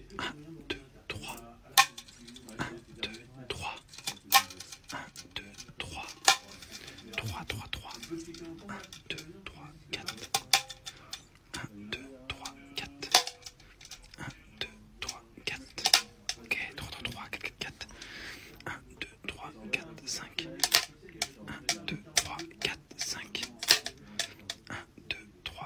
Un, deux, trois. Un, deux, trois. Un, deux, trois. Trois, trois, trois. Un, deux, trois, quatre. Un, deux, trois, quatre. Un, deux, trois, quatre. Ok, trois, 3 trois, quatre, quatre, quatre. Un, deux, trois, quatre, 3 Un, deux, trois, quatre, cinq.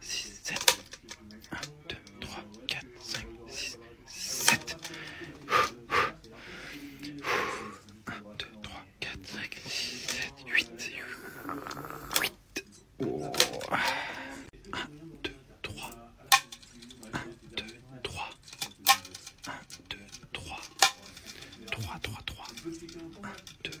7, 1, 2, 3, 4, 5, 6, 7. 2, 3, 8. 8. Oh. 1, 2, 3. 1, 2, 3. 1, 2, 3. 3. 2, 4.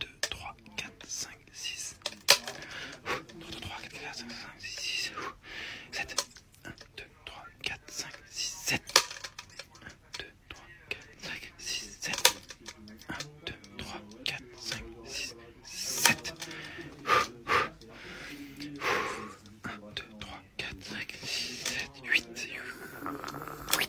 2, 3, 4, 5, 6. 2, 3, 4, 5, 6, 7. 1, 2, 3, 4, 5, 6, 7. 1, 2, 3, 4, 5, 6, 7. 1, 2, 3, 4, 5, 6, 7. 8.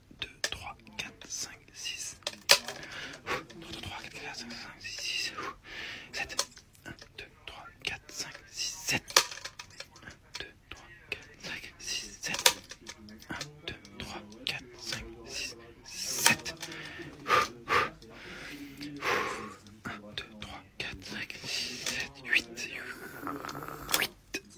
2, 3, 4, 5, 6. 2, 3, 4, 5, 6, 7. 1, 2, 3, 4, 5, 6, 7. 1, 2, 3, 4, 5, 6, 7. 1, 2, 3, 4, 5, 6, 8,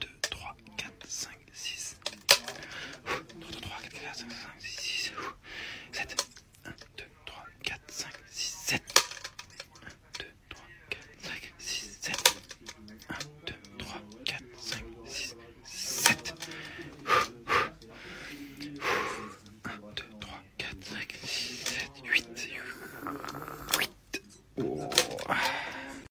2, 3, 4, 5, 6. 2, 3, 4, 5, 6, 7. 1, 2, 3, 4, 5, 6, 7. 2, 3, 4, 5, 6, 7. 2, 3, 4, 5, 6, 7. 8.